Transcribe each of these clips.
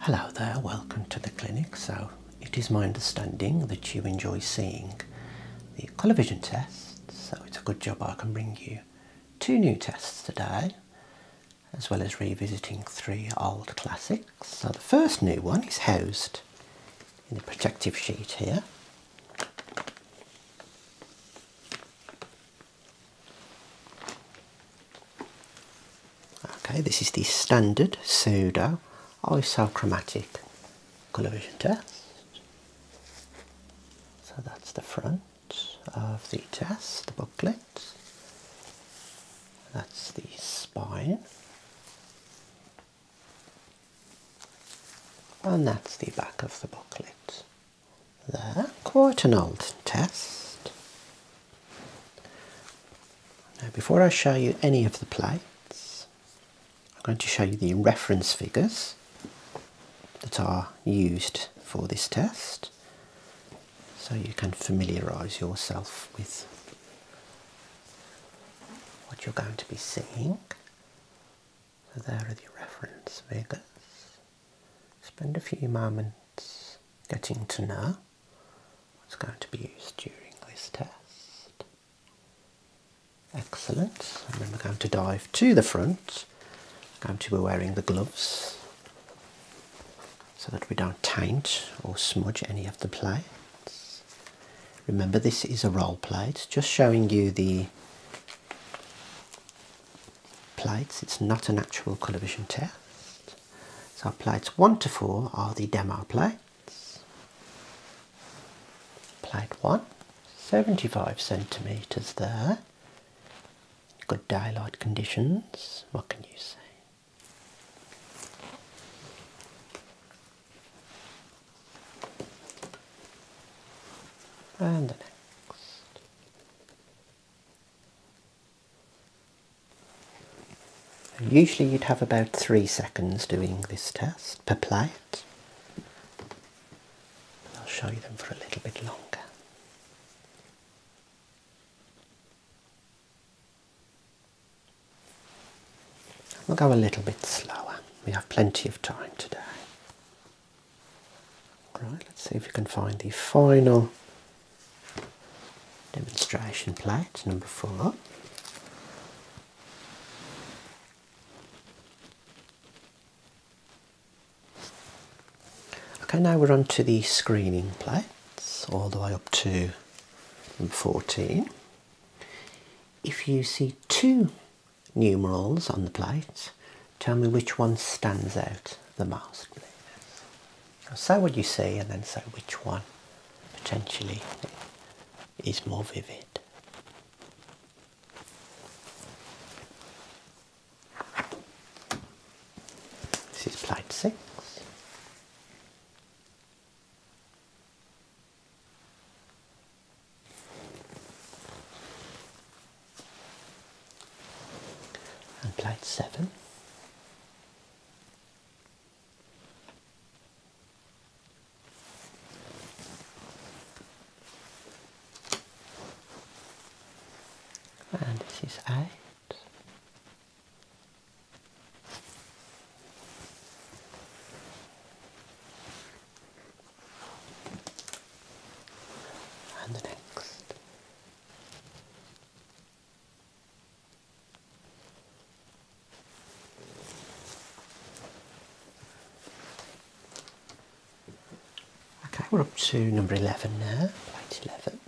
Hello there, welcome to the clinic. So, it is my understanding that you enjoy seeing the colour vision test, so it's a good job I can bring you two new tests today, as well as revisiting three old classics. So, the first new one is housed in the protective sheet here. Okay, this is the standard pseudo isochromatic colour vision test. So that's the front of the test, the booklet. That's the spine. And that's the back of the booklet. There, quite an old test. Now, before I show you any of the plates, I'm going to show you the reference figures that are used for this test so you can familiarise yourself with what you're going to be seeing. So there are the reference figures. Spend a few moments getting to know was going to be used during this test. Excellent. And then we're going to dive to the front. I'm going to be wearing the gloves so that we don't taint or smudge any of the plates. Remember this is a role plate, just showing you the plates. It's not an actual colour vision test. So plates 1 to 4 are the demo plates. Plate 1, 75 centimetres there. Good daylight conditions. What can you say? And the next. Usually you'd have about three seconds doing this test per plate. I'll show you them for a little bit longer. We'll go a little bit slower. We have plenty of time today. All let's see if we can find the final Demonstration plate number four. Okay, now we're on to the screening plates, all the way up to number 14. If you see two numerals on the plate, tell me which one stands out the most, please say what you see and then say which one potentially is more vivid. This is plate six. And plate seven. And this is eight. And next. Okay, we're up to number 11 now, plate 11.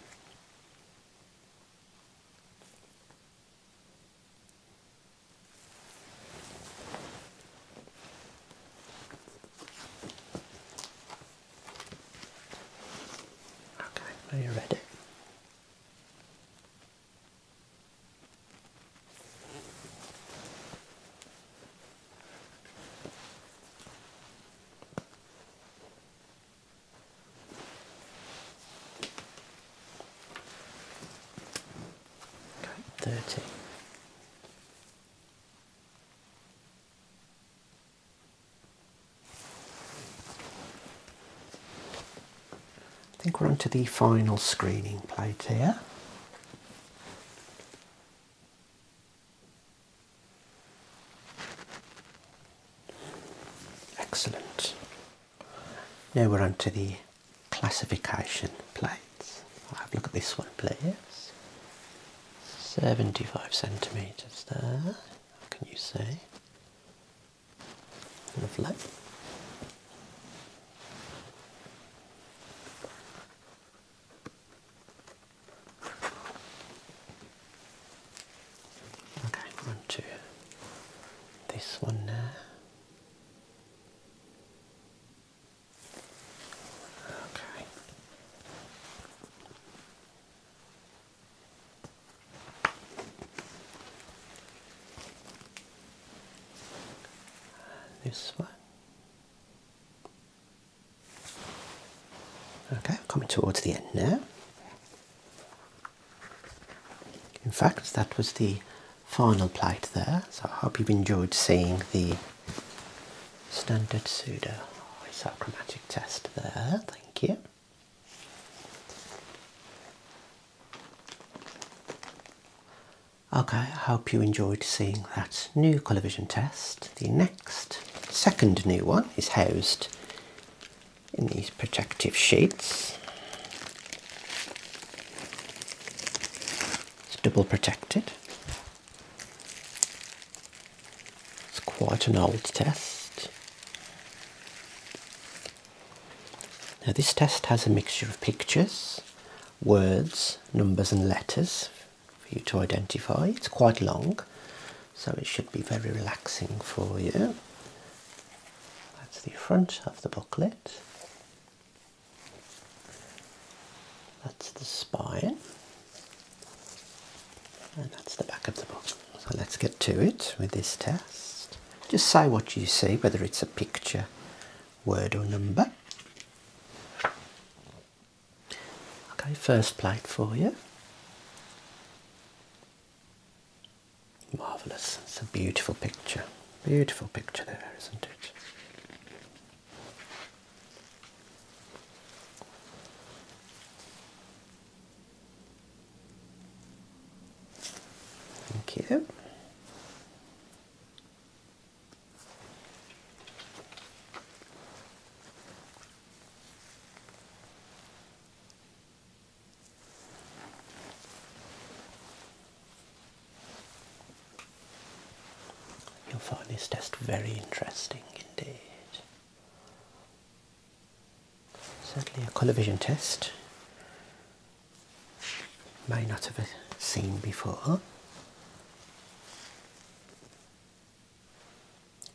Okay, Are you ready. Okay, thirty. I think we're onto the final screening plate here. Excellent. Now we're onto the classification plates. have a look at this one please. 75 centimetres there can you say? Lovely. Okay, on to this one now. Okay. This one. Okay, coming towards the end now. In fact, that was the final plate there, so I hope you've enjoyed seeing the standard pseudo isochromatic test there. Thank you. Okay, I hope you enjoyed seeing that new colour vision test. The next, second new one is housed in these protective sheets. It's double protected. It's quite an old test. Now this test has a mixture of pictures, words, numbers and letters for you to identify. It's quite long, so it should be very relaxing for you. That's the front of the booklet. That's the spine. And that's the back of the book. So let's get to it with this test. Just say what you see, whether it's a picture, word or number. Okay, first plate for you. Marvellous. It's a beautiful picture. Beautiful picture there, isn't it? Thank you. You'll find this test very interesting indeed. Certainly a colour vision test. May not have seen before.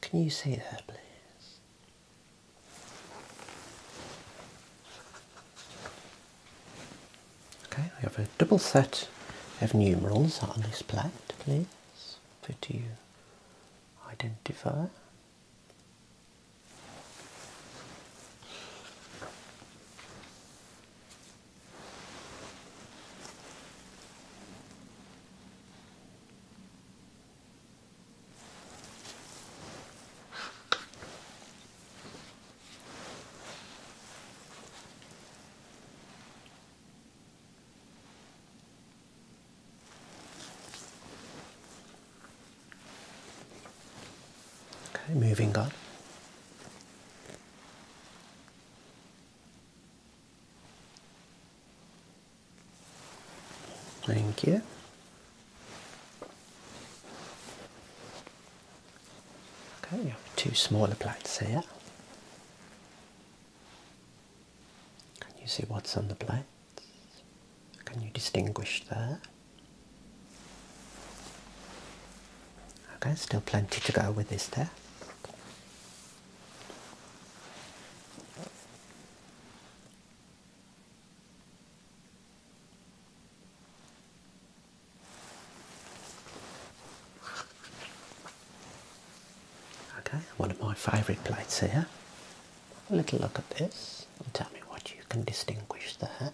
Can you see that, please? Okay, I have a double set of numerals on this plate, please. Put you identifier. Okay, moving on. Thank you. Okay, you have two smaller plates here. Can you see what's on the plates? Can you distinguish there? Okay, still plenty to go with this there. Okay, one of my favourite plates here. Have a little look at this and tell me what you can distinguish there.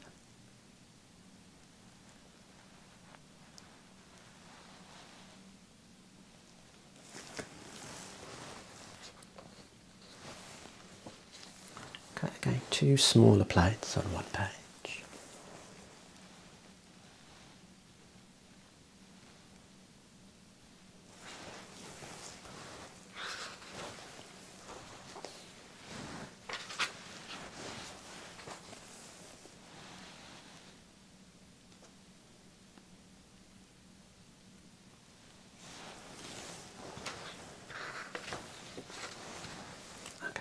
Okay, again, two smaller plates on one page.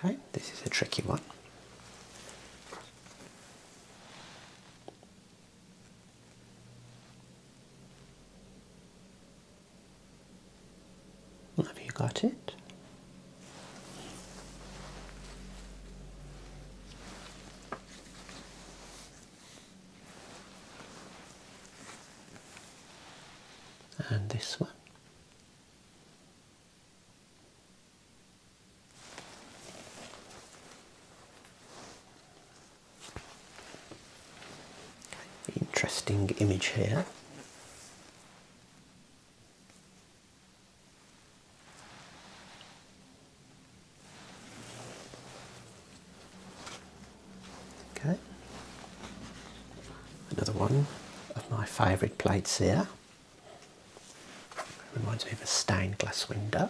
Okay, this is a tricky one. Have you got it? And this one. Interesting image here. Okay, another one of my favourite plates here. Reminds me of a stained glass window.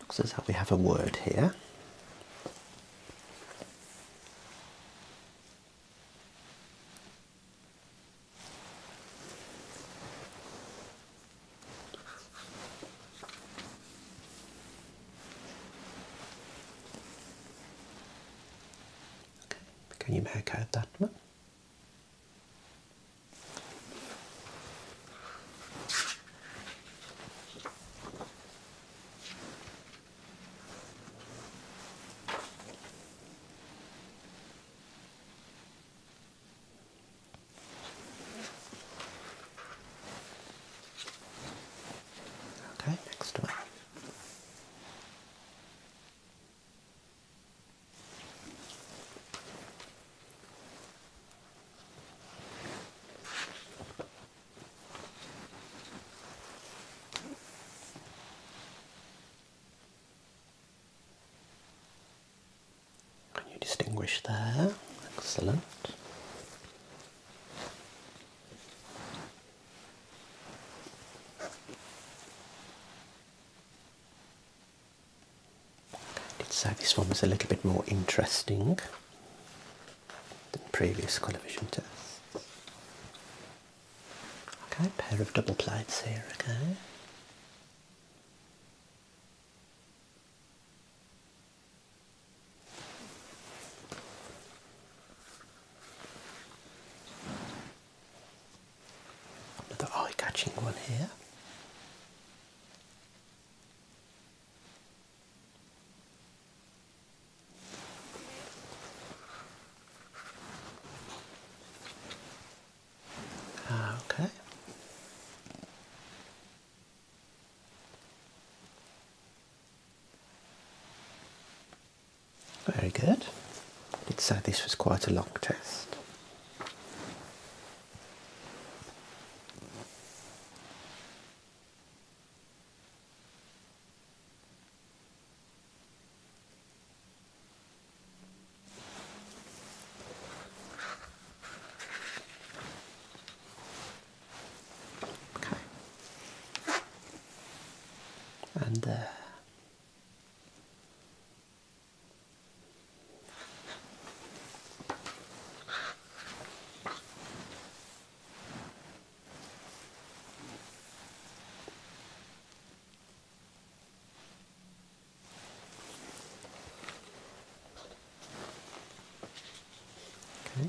looks as though we have a word here. Okay, can you make out that one? Okay, next one. Can you distinguish there? Excellent. I did say this one was a little bit more interesting than previous colour vision tests. Okay, pair of double plates here, okay. Another eye-catching one here. Okay. Very good. I did this was quite a long test. Okay. And uh,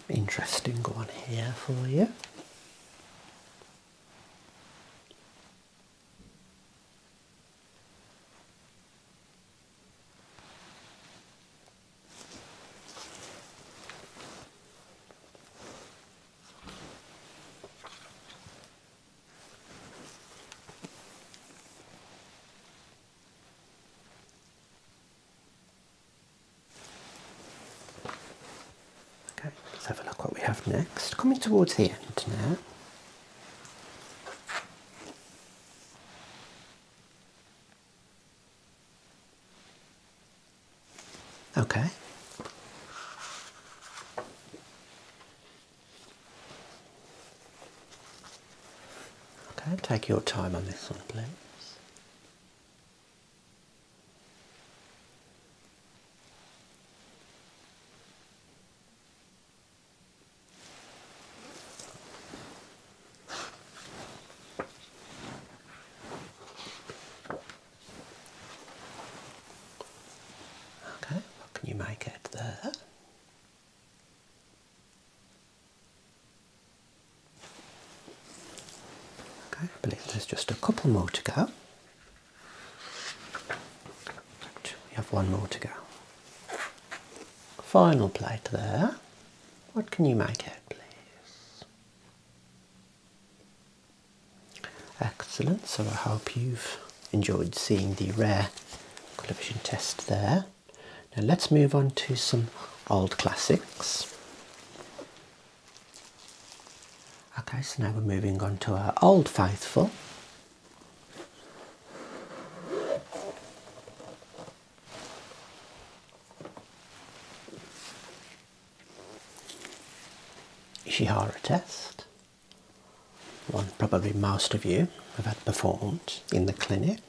Okay, interesting one here for you. Okay, let's have a look what we have next. Coming towards the end now. Okay. Okay, take your time on this one, please. Okay, what can you make it there? Okay, I believe there's just a couple more to go. We have one more to go. Final plate there. What can you make out, please? Excellent. So I hope you've enjoyed seeing the rare colour vision test there. Now let's move on to some old classics. Okay, so now we're moving on to our old faithful. Ishihara test, one probably most of you have had performed in the clinic.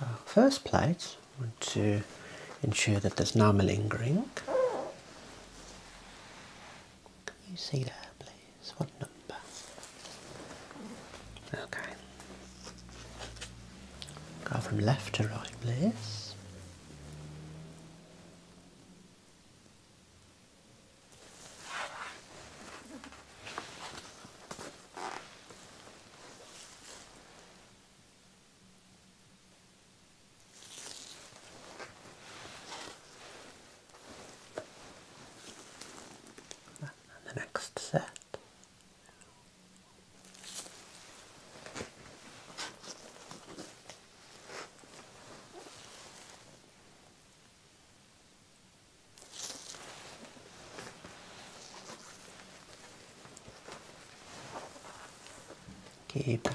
Uh, first plate, I want to ensure that there's no malingering. Can you see that please? what number? Okay. Go from left to right, please the next set. Keep going.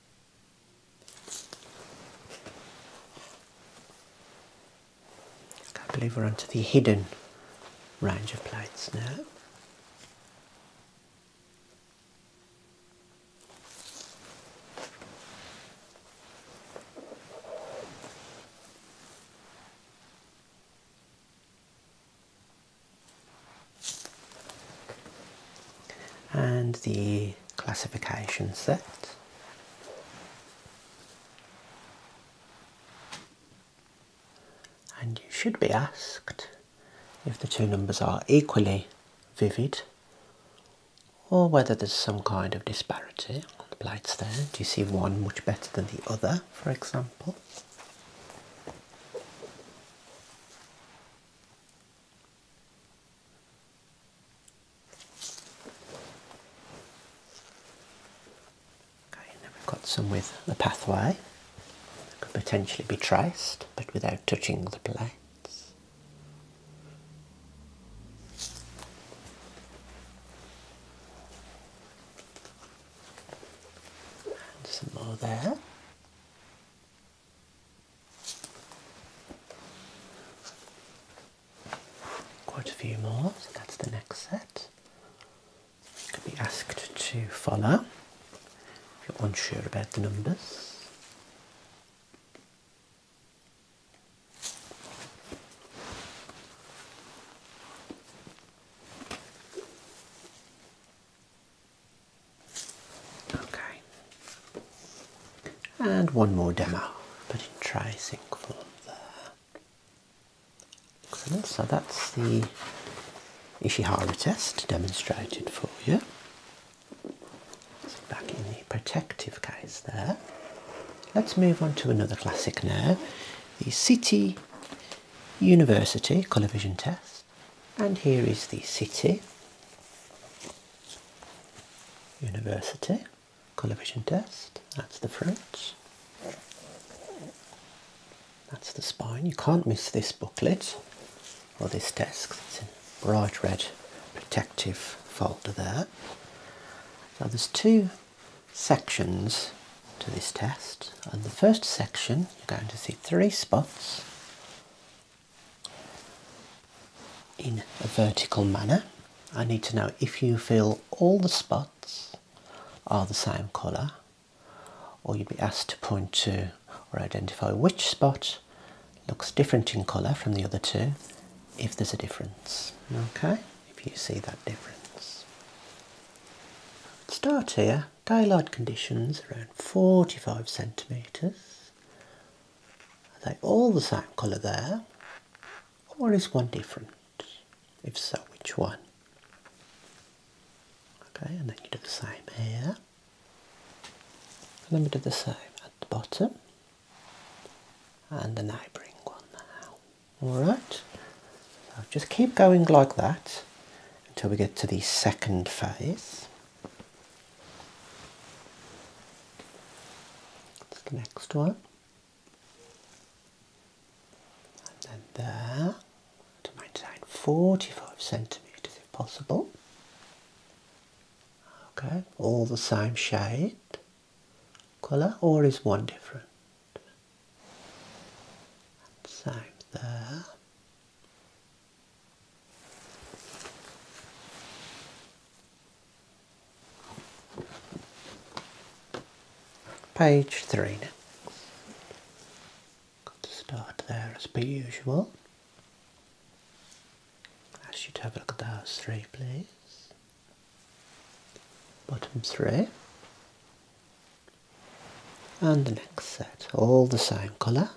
I believe we're onto the hidden range of plates now and the classification set. And you should be asked if the two numbers are equally vivid or whether there's some kind of disparity on the lights there. Do you see one much better than the other, for example? Okay, then we've got some with the pathway that could potentially be traced but without touching the plates. And some more there. Quite a few more, so that's the next set. You can be asked to follow if you're unsure about the numbers. Okay. And one more demo, but in tri-sync form there. Excellent. So that's the Ishihara test demonstrated for you. back in the protective case there. Let's move on to another classic now, the City University colour vision test. And here is the City. University colour vision test. That's the front. That's the spine. You can't miss this booklet or this test. It's in bright red protective folder there. Now there's two sections to this test. and the first section you're going to see three spots in a vertical manner. I need to know if you feel all the spots are the same colour, or you'd be asked to point to or identify which spot looks different in colour from the other two if there's a difference. Okay, if you see that difference. Start here, daylight conditions around 45 centimetres. Are they all the same colour there? Or is one different? If so, which one? Okay, and then you do the same here. And then we do the same at the bottom. And then I bring one now. Alright. So just keep going like that until we get to the second phase. That's the next one. And then there, to maintain 45 centimetres if possible. Okay, all the same shade, colour, or is one different? same there. Page three now. Got to start there as per usual. I should have a look at those three, please. Bottom three. And the next set, all the same colour.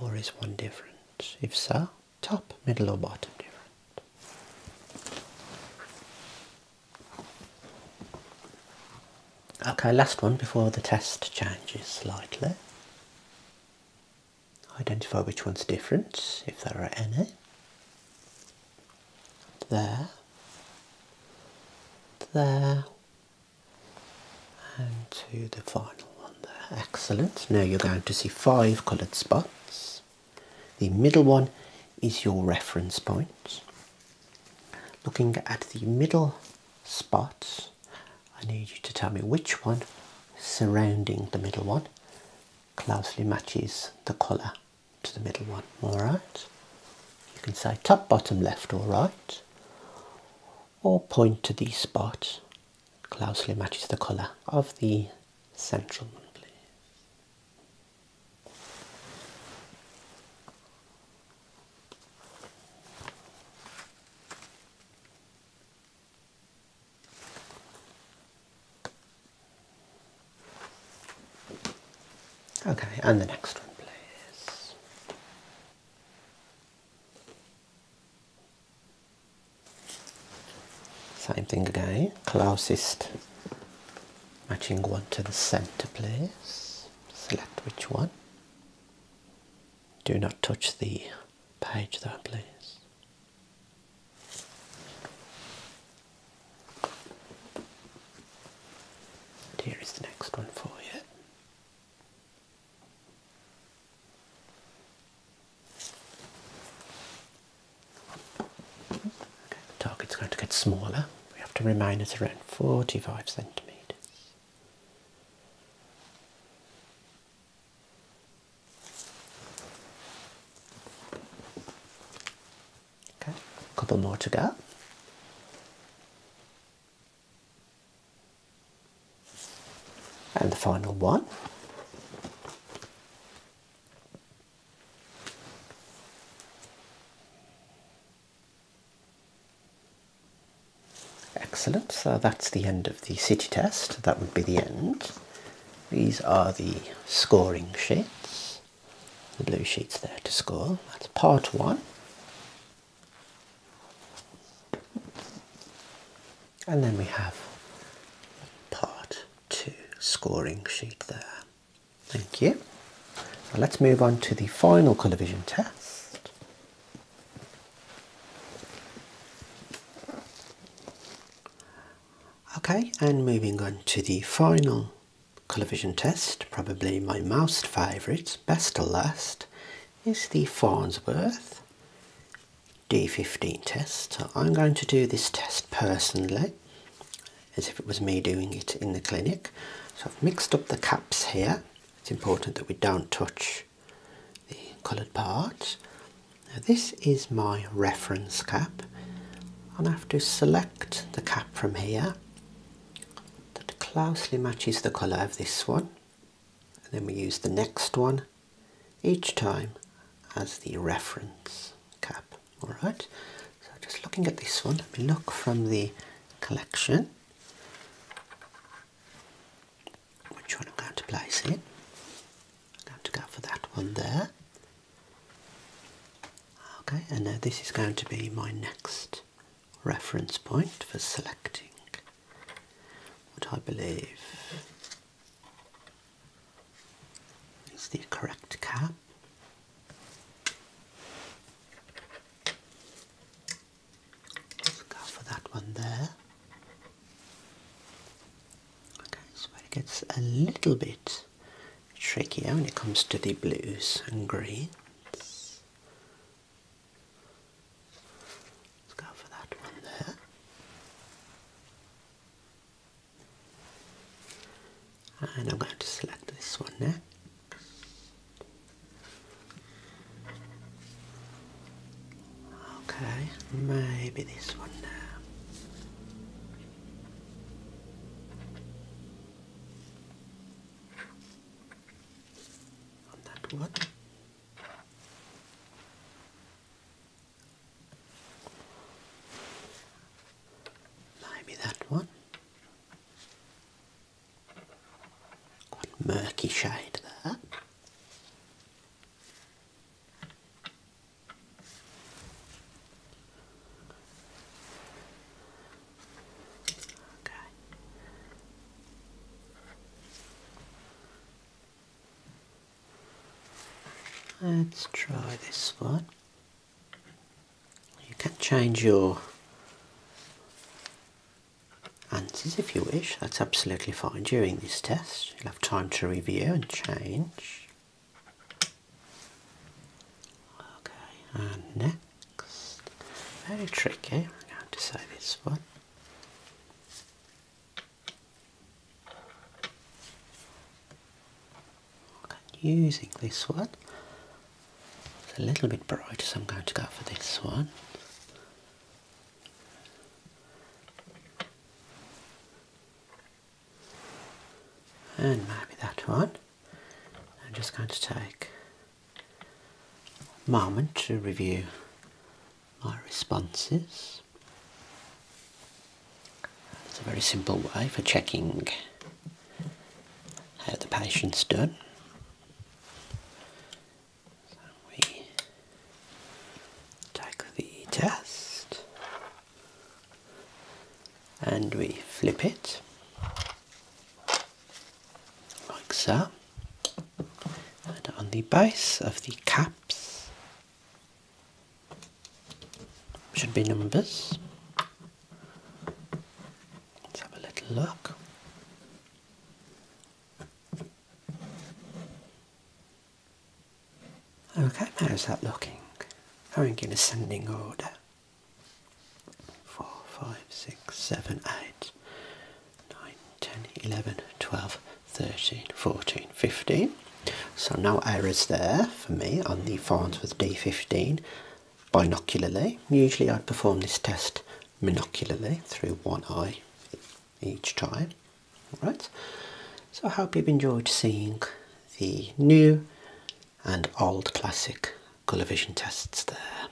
Or is one different? If so, top, middle or bottom different? Okay, last one before the test changes slightly. Identify which one's different, if there are any. There. There and to the final one there. Excellent. Now you're going to see five coloured spots. The middle one is your reference point. Looking at the middle spot, I need you to tell me which one surrounding the middle one closely matches the colour to the middle one. Alright? You can say top, bottom, left or right or point to the spot closely matches the colour of the central one, Okay, and the next one, please. Same thing again, closest matching one to the center please. Select which one. Do not touch the page though, please. Here is the next one for you. The target's going to get smaller. We have to remain at around 45 centimetres. Okay, a couple more to go. And the final one. Excellent, so that's the end of the city test. That would be the end. These are the scoring sheets, the blue sheets there to score. That's part one. And then we have part two scoring sheet there. Thank you. let's move on to the final colour vision test. Okay, and moving on to the final colour vision test, probably my most favourite, best to last, is the Farnsworth D15 test. I'm going to do this test personally as if it was me doing it in the clinic. So I've mixed up the caps here. It's important that we don't touch the coloured parts. Now this is my reference cap and I have to select the cap from here that closely matches the colour of this one and then we use the next one each time as the reference cap. Alright, so just looking at this one, let me look from the collection which one I'm going to place in. I'm going to go for that one there. Okay, and now this is going to be my next reference point for selecting what I believe is the correct cap. Let's for that one there. Okay, so it gets a little bit trickier when it comes to the blues and greens. Let's go for that one there. And I'm going to select this one there. Okay, maybe this one now. that one. Maybe that one. Quite murky shade there. Okay. Let's try this one. You can change your answers if you wish. That's absolutely fine during this test. You'll have time to review and change. Okay, next. Very tricky. I'm going to say this one using this one. It's a little bit bright, so I'm going to go for this one. And maybe that one. I'm just going to take moment to review my responses. It's a very simple way for checking how the patient's done. we take the test and we flip it like so. And on the base of the caps should be numbers. Let's have a little look. Okay, how's that looking? Going in ascending order. Four, five, six, seven, eight. 9, 10, 11, 12, 13, 14, 15. So no errors there for me on the with D15 binocularly. Usually I perform this test monocularly through one eye each time. Alright, so I hope you've enjoyed seeing the new and old classic colour vision tests there.